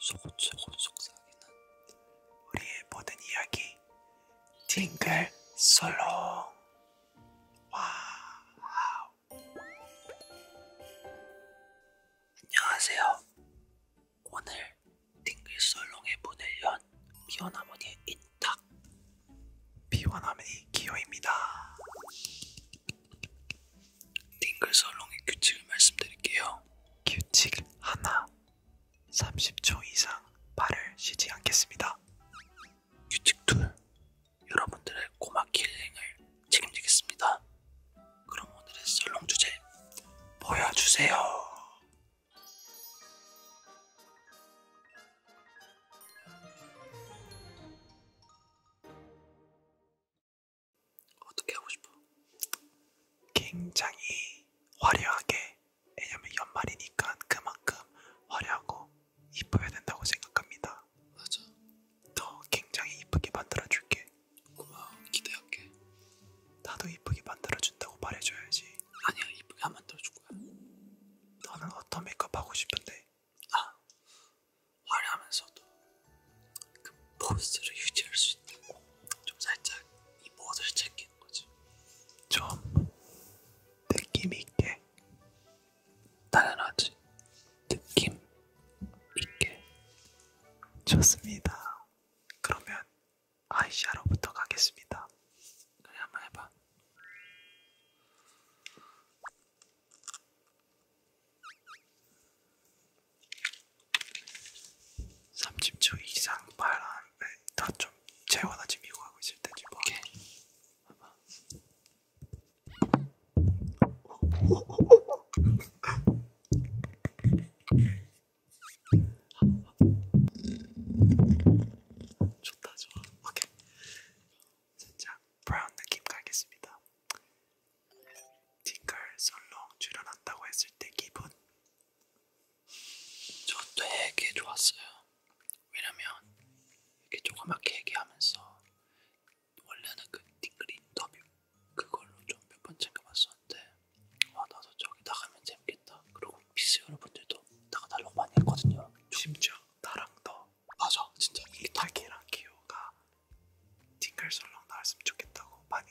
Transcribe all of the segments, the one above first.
속속속 속삭이는 우리의 모든 이야기 팅글 솔롱 와우 안녕하세요 오늘 팅글 솔롱의 문을 연 피어나무니의 인탁 피어나무니 기호입니다 팅글 솔롱의 규칙을 말씀드릴게요 규칙 하나 30초 이상 발을 쉬지 않겠습니다. 규칙 둘 여러분들의 고막 힐링을 책임지겠습니다. 그럼 오늘의 썰렁 주제 보여주세요. 어떻게 하고 싶어? 굉장히 화려하게 왜냐면 연말이니까 그만큼 화려하고 이뻐야 된다고 생각합니다. 맞아. 더 굉장히 이쁘게 만들어줄게. 고마워. 기대할게. 나도 이쁘게 만들어준다고 말해줘야지. 아니야, 이쁘게 안 만들어줄 거야. 너는 어떤 메이크업 하고 싶은데? 아, 화려하면서도 그 포스를 유지할 수 있다고 좀 살짝 이 멋을 챙기는 거지. 좀 느낌 있게 당연하지. 느낌 있게 좋습니다. 그러면 아이샤로부터 가겠습니다. 그래 한번 해봐. 30초 이상 말하는데 다좀 재원아 지금 이거 하고 있을 때 지금 오케이 봐봐 좋다 좋아 오케이 살짝 브라운 느낌 가겠습니다 팅클 솔롱 출연한다고 했을 때 기분? 저 되게 좋았어요. 왜냐면 이렇게 조그맣게 얘기하면서 원래는 그 팅클 인터뷰 그걸로 좀 몇 번 챙겨봤었는데 와 아, 나도 저기 나가면 재밌겠다. 그리고 피스 여러분들도 나가달라고 많이 했거든요. 심지어 나랑 너 맞아 진짜 이탈기랑 기호가 팅클 솔롱 나왔으면 좋겠다고 많이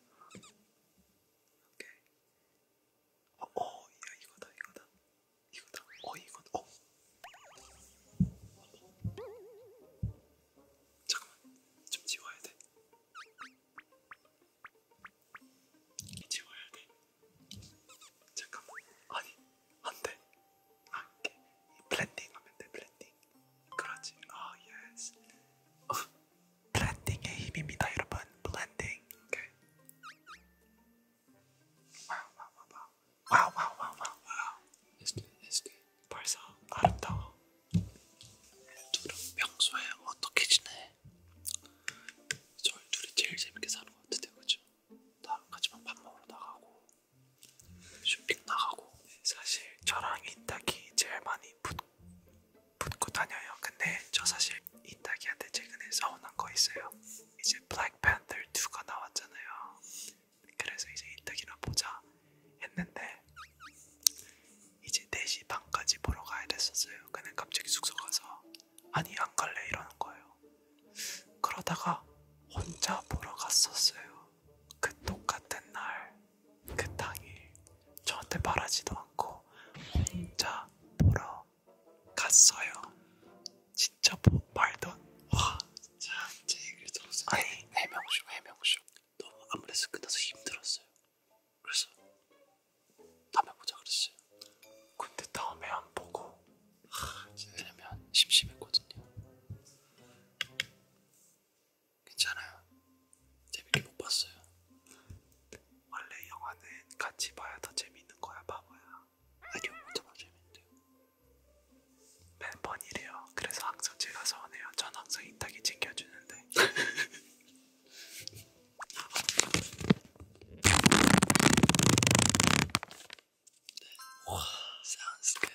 오케이. 어, 어, 야 이거다, 이거다, 이거다. 어, 이건, 어. 잠깐만, 좀 지워야 돼. 지워야 돼. 잠깐만, 아니, 안 돼. 아, 이렇게 블렌딩 하면 돼, 블렌딩. 그렇지. 아, 예스. 블렌딩의 힘입니다, 여러분. 블렌딩. 와우 와우 와우 와우 와우 와우 와우. 예스게 벌써 아름다워. 둘은 평소에 어떻게 지내? 저희 둘이 제일 재밌게 사는 것 같아요, 그죠? 나랑 같이만 밥 먹으러 나가고 쇼핑 나가고. 사실 저랑 인탁이 제일 많이 붙, 붙고 다녀요. 근데 저 사실 인타기한테 최근에 서운한 거 있어요. 이제 블랙팬더 2가 나왔잖아요. 그래서 이제 인타기나 보자 했는데 이제 4시 반까지 보러 가야 됐었어요. 근데 갑자기 숙소 가서 아니 안 갈래 이러는 거예요. 그러다가 혼자 보러 갔었어요. 그 똑같은 날그 땅에 저한테 말하지도 않고 혼자 보러 갔어요. 진짜 뭐, 말도 와 진짜 제 얘기를 들었어요. 아니 해명쇼 해명쇼 너무 아무래도 끝나서 힘들었어요. 그래서 다음에 보자 그랬어요. 근데 다음에 안 보고 하, 왜냐면 심심했거든요. 괜찮아요. 재밌게 못 봤어요. 원래 영화는 같이 봐야 더 재밌는 거야, 바보야. 아니요, 혼자 봐도 재밌는데요. 멤버이래요 그래서 항상 제가 서운해요. 전 항상 인탁이 챙겨주는데. 네. 와, sounds good.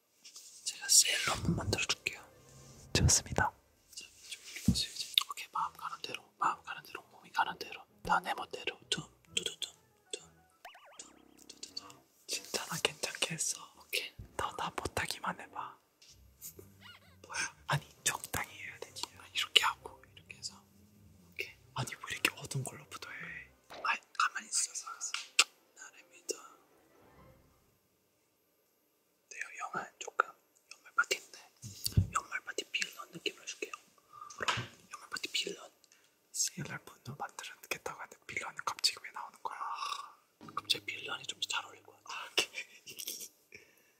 제가 셀로 한번 만들어줄게요. 좋습니다. 자, 보세요 이제. 오케이 마음 가는 대로, 마음 가는 대로, 몸이 가는 대로, 다내 멋대로 둠두두둠둠둠두두둠 진짜 나 괜찮게 했어. 오케이. 너나 못하기만 해봐. 뭐야? 아니 적당히 해야 되지. 아, 이렇게 하고 이렇게 해서. 오케이. 아니 왜 이렇게 어두운 걸로부터 해? 아 가만히 있어. 있어. 날입니다. 네, 영화는 조금 연말 파티인데 연말 파티 빌런 느낌을 줄게요. 그럼 연말 파티 빌런. CLR 분도 만들겠다고 하는데 빌런은 갑자기 왜 나오는 거야? 아, 갑자기 빌런이 좀잘 어울릴 거야. 아, 오케이.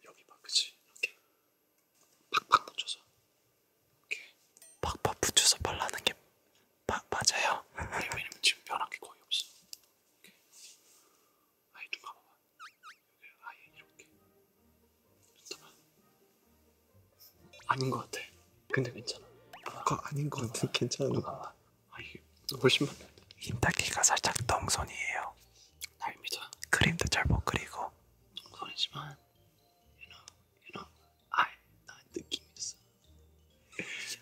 여기 봐, 그치? 이렇게 팍팍 붙여서. 이렇게 팍팍 붙여서 발라는 게 마, 맞아요. 아니, 왜냐면 지금 변한 게 거의 없어. 이렇게. 아예 누가 봐봐. 여기 아예 이렇게. 잠깐만. 아닌 것 같아. 근데 괜찮아. 뭐가 아닌 것 같아. 괜찮아. 누가 아 이게 훨씬 많네. 흰딱기가 살짝 덩선이에요. 날 믿어. 그림도 잘 못 그리고. 덩선이지만, you know, you know, 알나 느낌이 있어.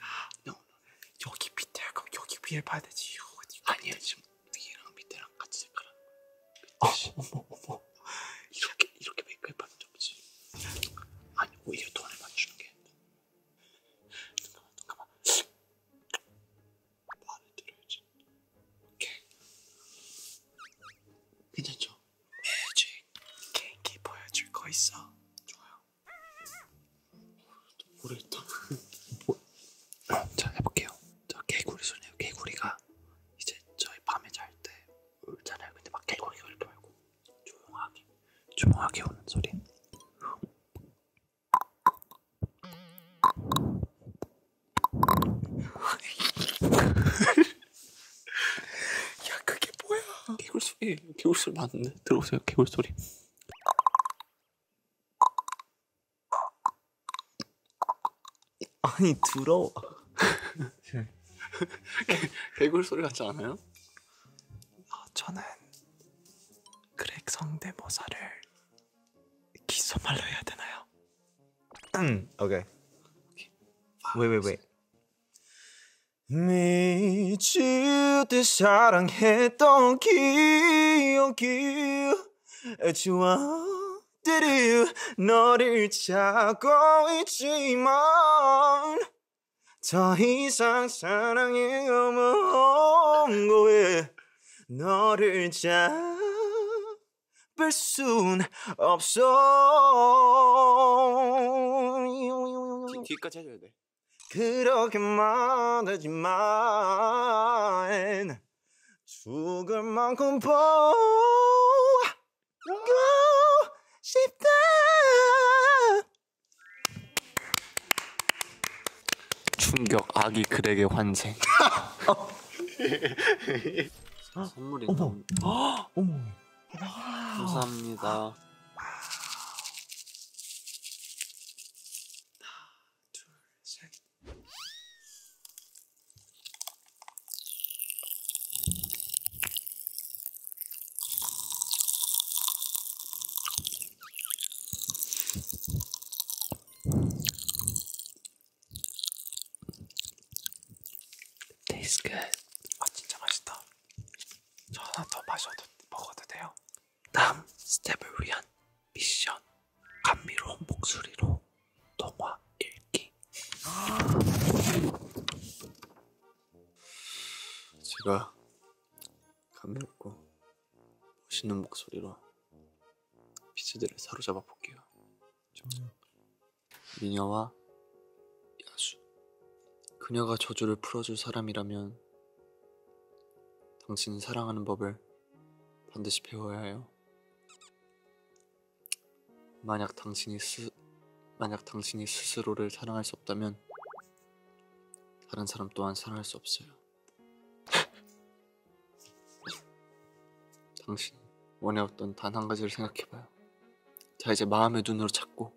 아, no, no. 여기 밑에 할거 여기 위에 봐야 되지. 아니야 지금 위랑 밑에랑 같이 색깔한 거야. 어, 어머 어머 이렇게 이렇게 메이크업 받은 적 없지. 아니 오히려 돈을 맞추는 게. 잠깐만 잠깐만. 말을 들어야지. 오케이. 괜찮죠? 매직 네, 케이크 보여줄 거 있어. 좋아요. 모르겠다. 뭐, 자 해볼게요. 저 개구리 소리예요. 개구리가 이제 저희 밤에 잘 때 울잖아요. 근데 막 개구리 울지 말고 조용하게 조용하게 우는 소리. 야 그게 뭐야? 개구리 소리. 여기 개울 소리 맞는데 들어오세요 개울 소리. 아니 들어. 개굴 소리 같지 않아요? 어, 저는 그렉 성대모사를 기소말로 해야 되나요? 응, 음, 오케이. 왜왜 왜? 미칠 때 사랑했던 기억이 좋아들이 너를 찾고 있지만 더 이상 사랑에 넘어온 거에 너를 잡을 순 없어 뒤, 뒤까지 해줘야 돼 그렇게 말하지만 죽을 만큼 보고 싶다 충격 아기 그에게 환생 선물이 어머 어머 감사합니다. 아, Tastes good. 아 진짜 맛있다. 저 하나 더 마셔도 먹어도 돼요? 다음 스텝을 위한 미션 감미로운 목소리로 동화 읽기 제가 감미롭고 멋있는 목소리로 피스들을 사로잡아 볼게요 음. 미녀와 야수 그녀가 저주를 풀어줄 사람이라면 당신이 사랑하는 법을 반드시 배워야 해요. 만약 당신이 스 만약 당신이 스스로를 사랑할 수 없다면 다른 사람 또한 사랑할 수 없어요. 당신 원해왔던 단 한 가지를 생각해봐요. 자 이제 마음의 눈으로 찾고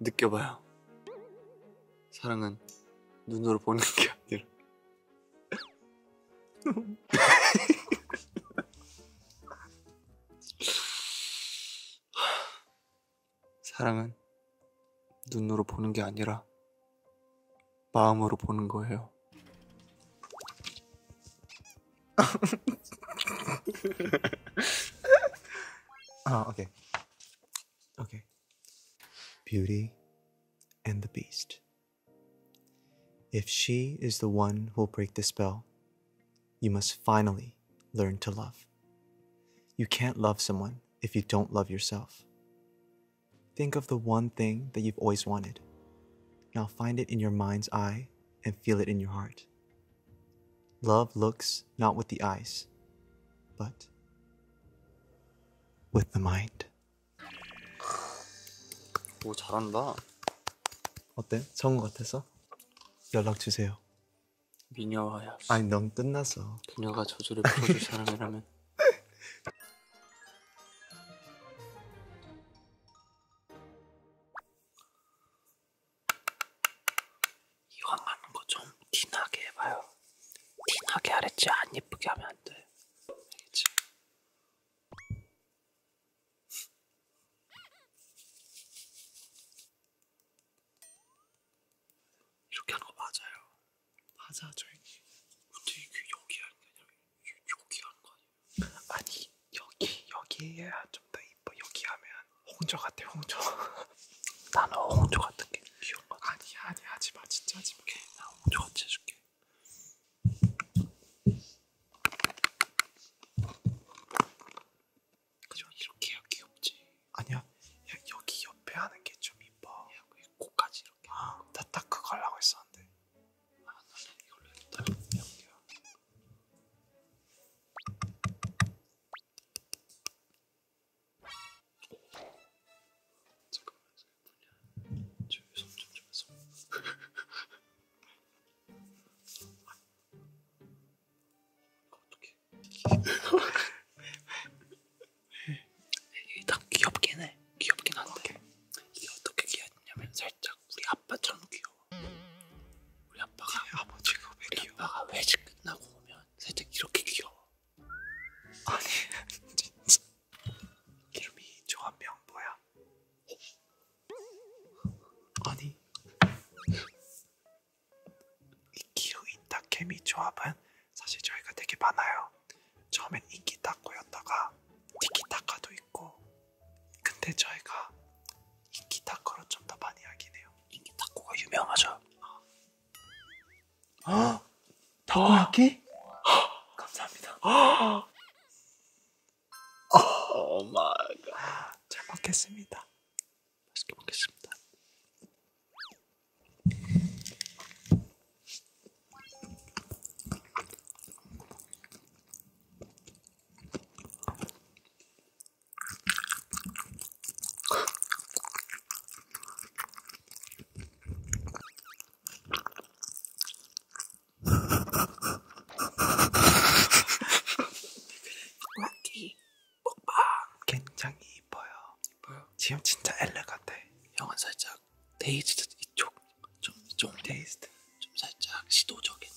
느껴봐요. 사랑은 눈으로 보는 게 아니라. 사랑은 눈으로 보는 게 아니라 마음으로 보는 거예요. 아, 오케이. Okay. Beauty and the Beast. If she is the one who will break the spell, you must finally learn to love. You can't love someone if you don't love yourself. Think of the one thing that you've always wanted. Now find it in your mind's eye and feel it in your heart. Love looks not with the eyes, but with the mind. 오 잘한다. 어때? 좋은 것 같아서? 연락 주세요. 미녀와야. 아니 넌 끝났어. 그녀가 저주를 풀어줄 사람이라면. 이왕 하는 거 좀 티나게 해봐요. 티나게 하랬지 안 예쁘게 하면 안 돼. 알겠지? 이렇게 하는 거 맞아요. 맞아, 저희. 근데 이게 여기 하는 게 아니라 여기 하는 거 아니에요? 아니 여기 여기 해야 좀더 이뻐. 여기 하면 홍조 같아 홍조 나는 홍조 같은 게 귀여운 거 아니야 아니야 하지마 진짜 하지마 나 홍조 같이 해줄게 그냥 이렇게 해야 귀엽지 아니야 야, 여기 옆에 하는 게 좀 이뻐 야, 그 코까지 이렇게 아, 나딱 그거 하려고 했었는데 아 나는 이걸로 했다 여기야 잠깐만 저기 손좀 좀 해서 어떡해 이게 딱 귀엽긴 해 귀엽긴 한데 이게 어떻게 귀엽냐면 살짝 우리 아빠처럼 귀여워 우리 아빠가 아버지가 왜 우리 귀여워? 아빠가 외식 끝나고 오면 살짝 이렇게 귀여워. 아니 진짜 이름이 조한명 뭐야? 아니 이 기우인타 케미 조합은 사실 저희가 되게 많아요. 처음엔 인기타코였다가 티키타카도 있고 근데 저희가 인기타코로 좀 더 많이 하긴 해요. 인기타코가 유명하죠. 어, 타코야키? 감사합니다. 오 마이 갓. 잘 먹겠습니다. 맛있게 먹겠습니다. 락기 먹방 굉장히 이뻐요. 이뻐요. 지금 진짜 엘레 같아. 형은 살짝 데이지트 이쪽 좀 이쪽 테이스트 좀 살짝 시도적인.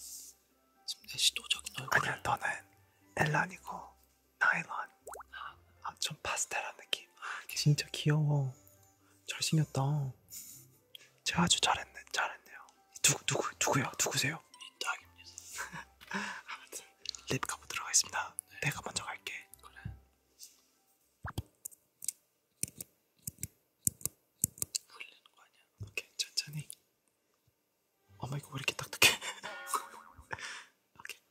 지금 시도적인 얼굴. 아니야 너는 엘란이고 나일론 아, 좀 파스텔한 느낌 아, 진짜 귀여워 잘생겼다 제가 아주 잘했네 잘했네요 누구 누구 누구야 누구세요 이 딱입니다 아무튼 립 가보 들어가겠습니다 네. 내가 먼저 갈게 그래 흘리는 거 아니야 오케이 천천히 어머 이거 왜 이렇게 딱딱해? 오케이.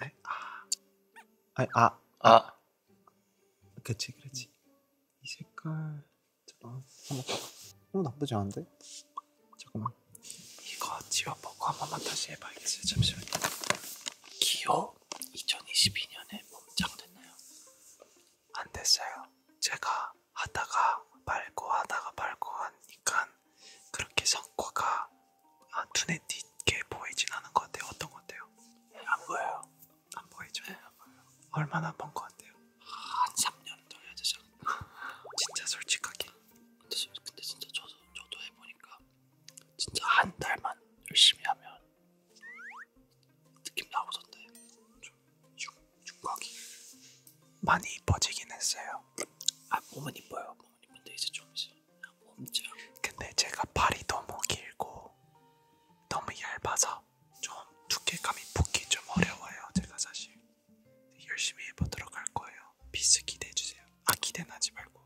네? 아. 아, 아, 아, 아. 그렇지, 그렇지. 이 색깔 잠깐만. 어머, 어 나쁘지 않은데? 잠깐만. 이거 지워보고 한 번만 다시 해봐야겠어요. 잠시만요. 기호 2022년에 몸짱됐나요? 안 됐어요. 제가 하다가 말고 하다가 말고 하니까 그렇게 성과가 아, 눈에 띄게 보이진 않은 것 같아요. 어떤 것 같아요? 안 보여요. 안 보이죠? 네, 안 보여요. 얼마나 번것 같아요? 아, 한 3년 더 해야 되지 않을까? 진짜 솔직하게. 근데, 근데 진짜 저도, 저도 해보니까 진짜 한 달만 열심히 하면 느낌 나오던데. 좀 흉, 흉곽이 많이 이뻐지긴 했어요. 아, 몸은 이뻐요. 부모님분들 이제 좀 엄청. 근데 제가 발이 너무 길고 너무 얇아서 좀 두께감이 붙기 좀 어려워요. 제가 사실 열심히 해보도록 할 거예요. 비스 기대해 주세요. 아 기대는 하지 말고.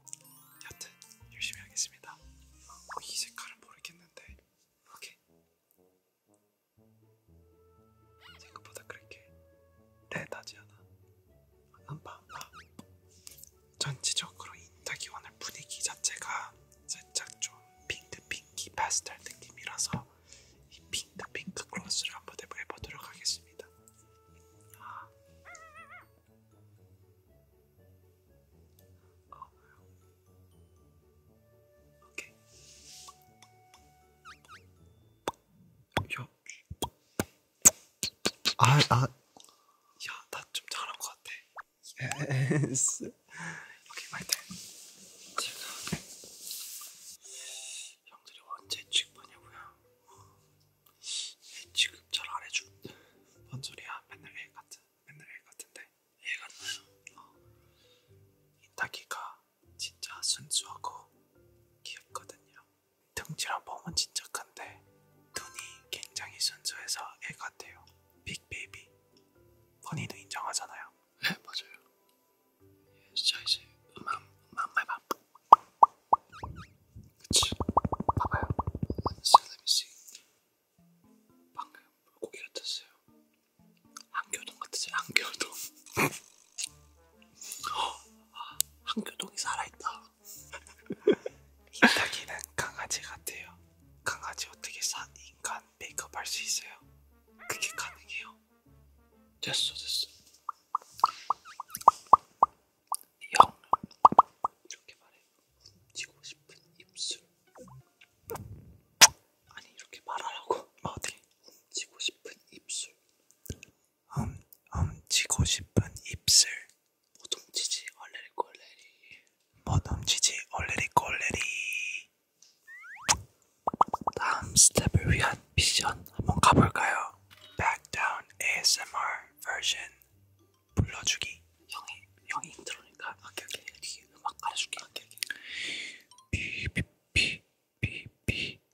여튼 열심히 하겠습니다. 어, 이 색깔은 모르겠는데. 오케이. 생각보다 그렇게 레드하지 않아. 안방과 전체적으로 인터기원의 분위기 자체가 살짝 좀 핑크핑키 파스텔 느낌이라서 이 핑크핑크 글로스를 한번 해보도록 하겠습니다. 아. 어. 오케이. 요, 아, 나, 아. 야, 나 좀 잘한 것 같아. 예스. 여기 말대. 지금 형들이 언제 취급하냐고요? 취급 잘안 해줘. 뭔 소리야? 맨날 애 같은, 맨날 애 같은데 애 같나요? 어. 인타키가 진짜 순수하고 귀엽거든요. 등치랑 몸은 진짜 큰데 눈이 굉장히 순수해서 애 같아요. 빅베이비. 허니도 인정하잖아요. 네 맞아요. 예, 자 이제 음악 음악 말봐. 그치. 봐봐요. 슬림씨 방금 물고기 같았어요. 안겨동 같았어요. 안겨동. 한교동이 살아있다. 이타기는 강아지 같아요. 강아지 어떻게 사 인간 메이크업 할 수 있어요? 그게 가능해요? 됐어 됐어. 영 이렇게 말해 훔치고 싶은 입술 아니 이렇게 말하라고 아, 어디 훔치고 싶은 입술 음, 훔치고 음, 싶은 입술 못 뭐 훔치지 얼레리 꼴레리 못 뭐 훔치지 얼레리 꼴레리 다음 스텝을 위한 미션 한번 가볼까요? Backdown ASMR version 불러주기 형이 형이 힘들으니까 오케이 오케이 뒤 음악 깔아줄게 오케이 오케이 비비비비비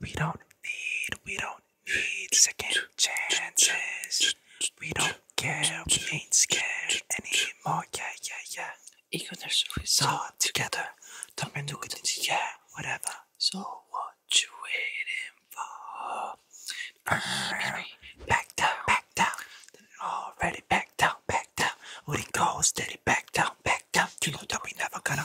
We don't need, we don't need second chances. We don't care, we ain't scared anymore. Yeah, yeah, yeah. 이겨낼 있어 together. don't 덤면 누구든지 yeah, whatever. So what you waiting for? Back down, back down. Already back down, back down. 우린 go steady, back down, back down. You know that we never gonna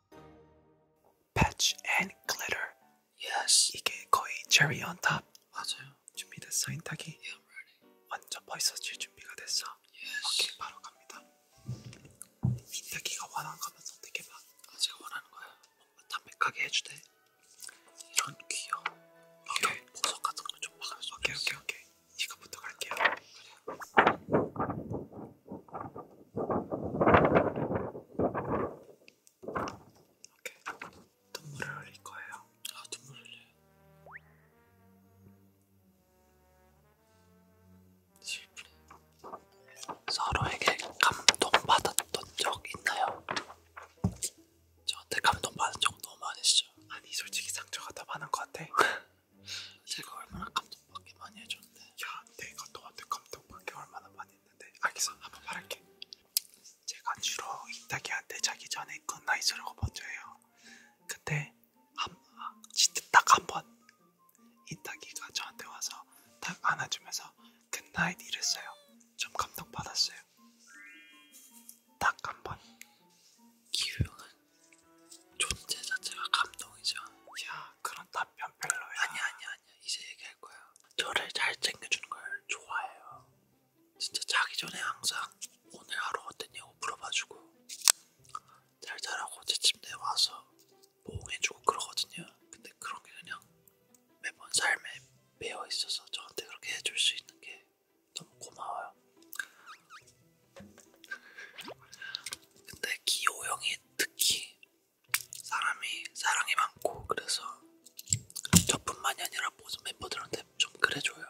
Patch and glitter. Yes. 이게 거의 cherry on top. 맞아요. 준비됐어 인탁이? Yeah, I'm ready. 완전 벌써질 준비가 됐어. Yes. 오케이 바로 갑니다. 인탁이가 원하는 거면 선택해봐. 아 제가 원하는 거야. 뭔가 담백하게 해주대. 이런 귀여운. 오케이. 보석 같은 거좀 막아줘. 오케이 오케이 오케이. 이거부터 갈게요. 그래. 오케이. 눈물을 흘릴 거예요. 아 눈물 흘려요. 슬프. 서로에게 감동받았던 적 있나요? 저한테 감동받은 적 너무 많으시죠? 아니 솔직히 상처가 더 많은 것 같아. 제가 얼마나 감동받게 많이 해줬는데. 야 내가 너한테 감동받게 얼마나 많이 있는데 알겠어 한번 말할게 제가 주로 이따기한테 자기 전에 굿나잇 소리고 먼저 해요 근데 한, 진짜 딱한번 이따기가 저한테 와서 딱 안아주면서 굿나잇 이랬어요 좀 감동받았어요 딱 한번 기우는 존재 자체가 감동이죠 야 그런 답변 별로야 아니야 아니야 아니야. 이제 얘기할 거야. 저를 잘 챙겨주는 걸 좋아해요. 진짜 자기 전에 항상 오늘 하루 어땠냐고 물어봐주고 잘 자라고 제 침대에 와서 보호해주고 그러거든요. 근데 그런 게 그냥 매번 삶에 매어 있어서 저한테 그렇게 해줄 수 있는 게 너무 고마워요. 근데 기호 형이 특히 사람이 사랑이 많고 그래서 저뿐만이 아니라 모든 멤버들한테 좀 그래줘요.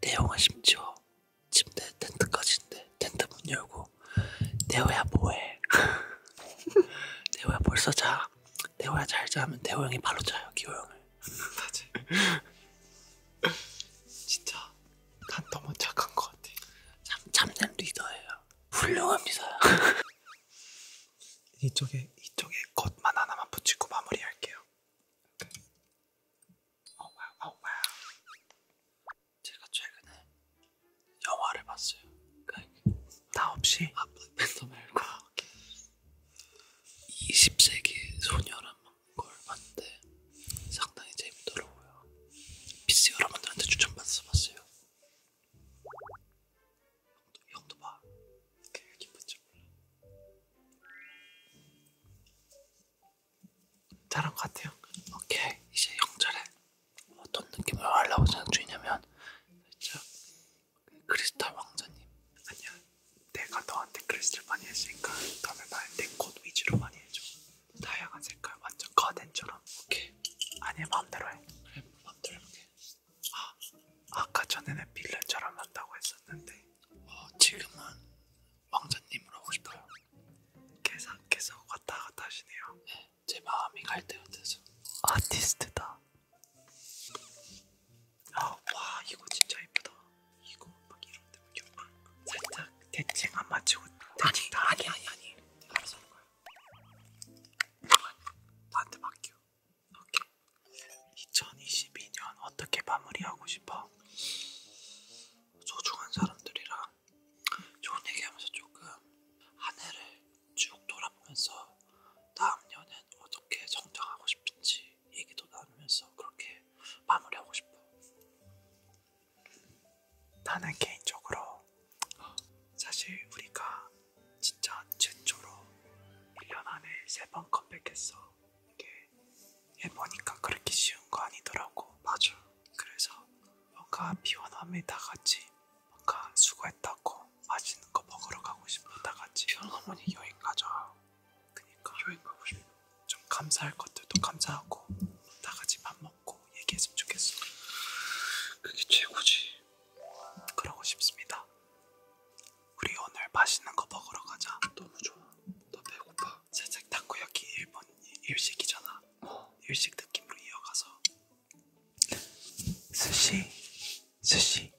내용은 심지어 침대 텐트까지인데 텐트 문 열고 대호야 뭐해? 대호야 벌써 자. 대호야 잘 자면 대호 형이 발로 자요 기호 형을. 맞지. 진짜 난 너무 착한 것 같아. 참 참된 리더예요. 훌륭합니다. 이쪽에 이쪽에 겉만 하나만 붙이고 마무리할게요. 어, 와우, 어, 와우. 제가 최근에 영화를 봤어요. 나 그러니까 없이? 아, 블랙팬더 말고. 아, 20세기 소녀란 걸 봤는데 상당히 재밌더라고요. PC 여러분들한테 추천받았어요. 형도, 형도 봐. 그게 기쁜지 몰라. 잘한 것 같아요. 오케이. 이제 영절에 어떤 느낌을 하려고 저는 주냐면 살짝 크리스탈 왕자님. 아니야. 내가 너한테 크리스탈 많이 했으니까 다음에 말때 꽃 위주로 많이 해줘. 다양한 색깔 완전 가든처럼. 오케이. 아니 마음대로 해. 그래 마음대로 해. 아, 아까 전에는 빌런처럼 한다고 했었는데 어, 지금은 왕자님으로 하고 싶어요. 계속 계속 왔다 갔다 하시네요. 네, 제 마음이 갈 때가 되죠. 아티스트다. 아, 와 이거 진짜 예쁘다. 이거 막 이런데 막 이런 살짝 대칭 안 맞추고 대칭 아니, 아니 아니 아니 알아서 하는 거야. 나한테 맡겨. 오케이. 2022년 어떻게 마무리하고 싶어? 소중한 사람들이랑 좋은 얘기하면서 조금 한 해를 쭉 돌아보면서 다음 년엔 어떻게 성장하고 싶은지 얘기도 나누면서 그렇게 마무리하고 싶어. 나는 개인적으로 사실 우리가 진짜 최초로 1년 안에 세 번 컴백했어. 이게 해보니까 그렇게 쉬운 거 아니더라고. 맞아. 그래서 뭔가 비원함에 다 같이 뭔가 수고했다고 맛있는 거 먹으러 가고 싶어. 다 같이 비원함이 여행 가자. 그니까 여행 가고 싶어. 좀 감사할 것들도 감사하고 다 같이 밥 먹고 얘기했으면 좋겠어. 그게 최고지. 그러고 싶습니다. 우리 오늘 맛있는 거 먹으러 가자. 너무 좋아. 나 배고파. 살짝 타코야키 일본 일식이잖아. 어. 일식 느낌으로 이어가서 스시, 스시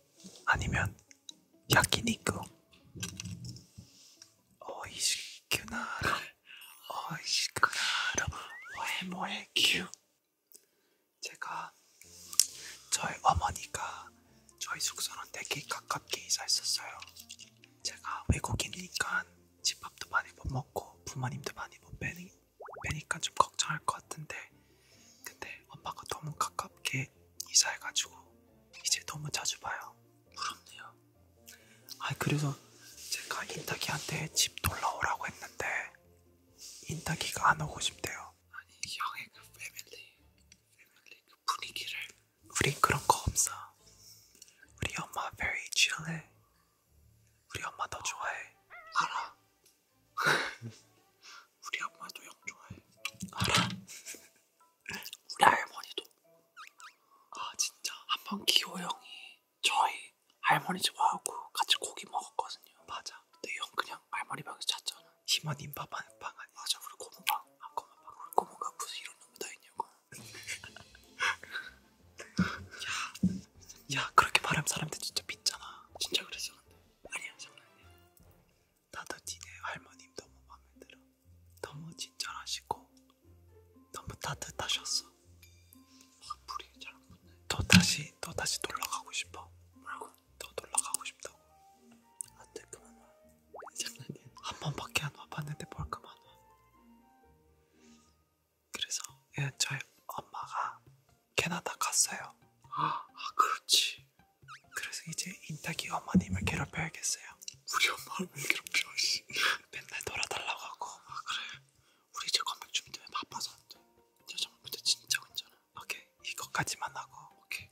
아니면 야키니쿠. 오이시쿠나라, 오이시쿠나라, 오에모에큐. 제가 저희 어머니가 저희 숙소는 되게 가깝게 이사했었어요. 제가 외국인이니까 집밥도 많이 못 먹고 부모님도 많이 못 뵈니, 뵈니까 좀 걱정할 것 같은데 근데 엄마가 너무 가깝게 이사해가지고 이제 너무 자주 봐요. 부럽네요. 아 그래서 제가 인탁이한테 집 놀러오라고 했는데 인타기가 안 오고 싶대요. 아니 형의 그 패밀리, 패밀리 그 분위기를. 우린 그런 거 없어. 우리 엄마 very chill해. 우리 엄마 너 좋아해. 알아. 우리 엄마도 형 좋아해. 알아. 우리 할머니도. 아 진짜 한번 기호 형이 저희 저기 할머니 집 와갖고 같이 고기 먹었거든요. 맞아. 근데 형 그냥 할머니 방에서 잤잖아. 희만 인파방 방 아니야? 맞아. 우리 고모방. 아 고모방. 우리 고모가 무슨 이런 놈이 다 있냐고. 야, 야 그렇게 말하면 사람들 진짜 믿잖아. 진짜 그랬어 근데. 아니야 장난이야. 나도 니네 할머님 너무 마음에 들어. 너무 친절하시고 너무 따뜻하셨어. 아, 불이 잘안 붙네. 너 다시 너 다시 놀러 가고 싶어. 뭐라고? 너 놀러 가고 싶다고. 안돼 아, 네, 그만 와. 장난이야. 한 번밖에 안 와봤는데 뭘 그만 와. 그래서 예, 저희 엄마가 캐나다 갔어요. 아, 아 그렇지. 그래서 이제 인탁이 어머님을 괴롭혀야겠어요. 우리 엄마를 왜 괴롭혀? 맨날 놀아달라고 하고. 아 그래. 우리 이제 건백 준비때문에 바빠서 안 돼. 저 정말 근데 진짜 괜찮아. 오케이 이것까지만 하고 오케이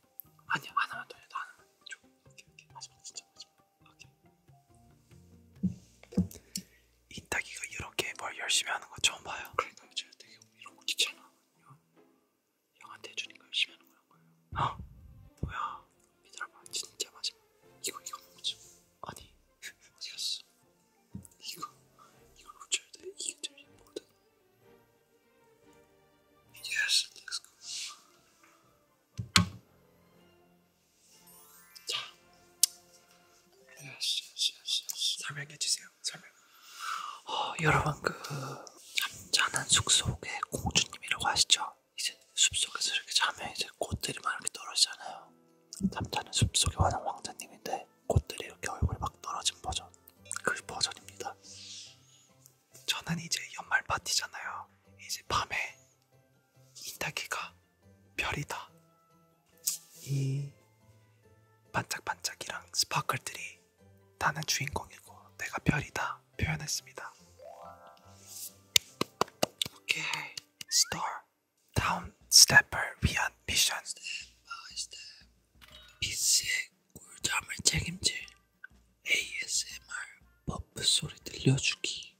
아니 하나만 더 해, 하나만 줘 오케이 오케이 마지막 진짜 마지막 오케이 이따기가 이렇게 뭘 열심히 하는 거 처음 봐요. 그러니까 제가 되게 이런 거 귀찮아. 형, 형한테 해주니까 열심히 하는 거란 거예요. 아 뭐야? 믿어봐 진짜 마지막 이거 이거 먹지. 아니 어디 갔어? 이거 이걸 고쳐야 돼. 이게 제일 important. Yes, let's go. 자, yes, yes, yes, yes. 설명해 주세요. 설명. 어, 여러분 그 잠자는 숲속의 공주님이라고 하시죠? 이제 숲속에서 이렇게 자면 이제 꽃들이 막 이렇게 떨어지잖아요. 잠자는 숲속에 와는 왕자님인데 꽃들이 이렇게 얼굴 막 떨어진 버전 그 버전입니다. 저는 이제 연말 파티잖아요. 이제 밤에 인다기가 별이다. 이 반짝반짝이랑 스파클들이 나는 주인공이고 내가 별이다 표현했습니다. 오케이 스타 다운 스텝을 위한 미션. 스텝 바이 스텝 비스의 꿀잠을 책임질 ASMR 버프 소리 들려주기.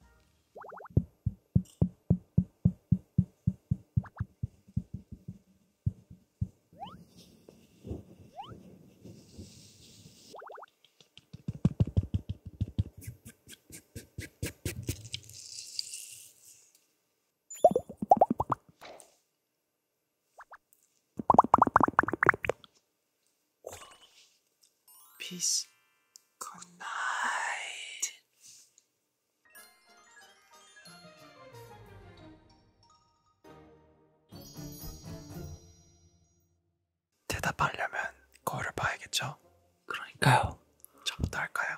Peace. Good night. 대답하려면 거울을 봐야겠죠? 그러니까요. 저부터 할까요?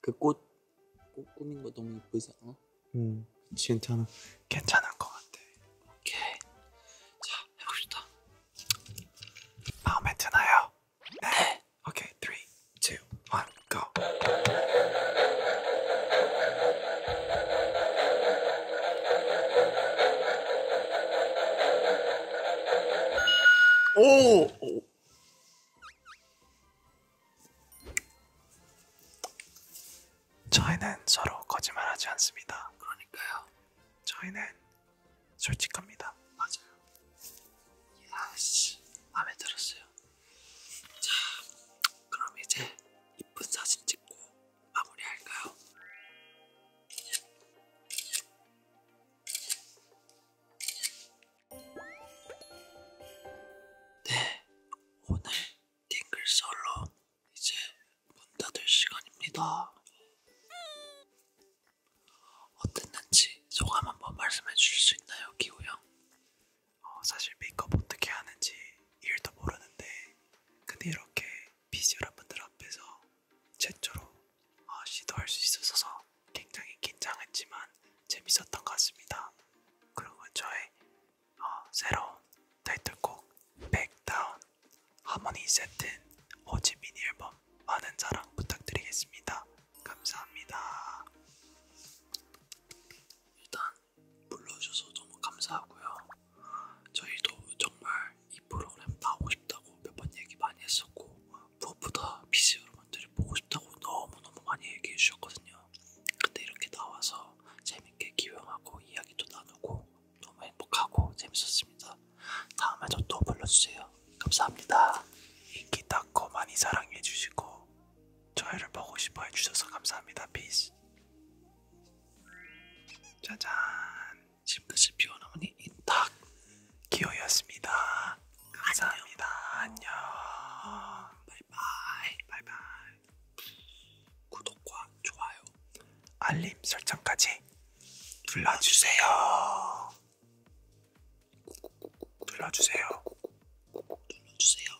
그꽃꽃 꾸민 거 너무 예쁘지 않아? 음 괜찮아 괜찮을 것 같아 오케이 자 해봅시다 마음에 드나요? 네, 네. 오케이 3 2 1 go 오! 저희는 서로 거짓말하지 않습니다. 그러니까요. 저희는 솔직합니다. 맞아요. 야씨, 아, 마음에 들었어요. 자, 그럼 이제 이쁜 사진 찍고 마무리할까요? 네, 오늘 딩글 솔로 이제 문 닫을 시간입니다. 어땠는지 소감 한번 말씀해 주실 수 있나요, 기호 형? 어, 사실 메이크업 어떻게 하는지 일도 모르는데 근데 이렇게 비주얼 분들 앞에서 최초로 어, 아, 시도할 수 있어서 굉장히 긴장했지만 재밌었던 것 같습니다. 그리고 저의 어, 새로운 타이틀곡 백다운 하모니 세트 호지민 앨범 많은 사랑 부탁드리겠습니다. 감사합니다. 일단 불러주셔서 너무 감사하고요. 저희도 정말 이 프로그램 나오고 싶다고 몇 번 얘기 많이 했었고 무엇보다 PC 여러분들이 보고 싶다고 너무너무 많이 얘기해 주셨거든요. 근데 이렇게 나와서 재밌게 기용하고 이야기도 나누고 너무 행복하고 재밌었습니다. 다음에도 또 불러주세요. 감사합니다. 인기 닦고 많이 사랑해 주시고 저희를 보고 싶어 해주셔서 감사합니다. 피스 짜잔 싶다시피 어머니 인탁 기호였습니다. 감사합니다. 안녕. 바이바이. 바이바이. 구독과 좋아요, 알림 설정까지 눌러주세요. 눌러주세요. 눌러주세요.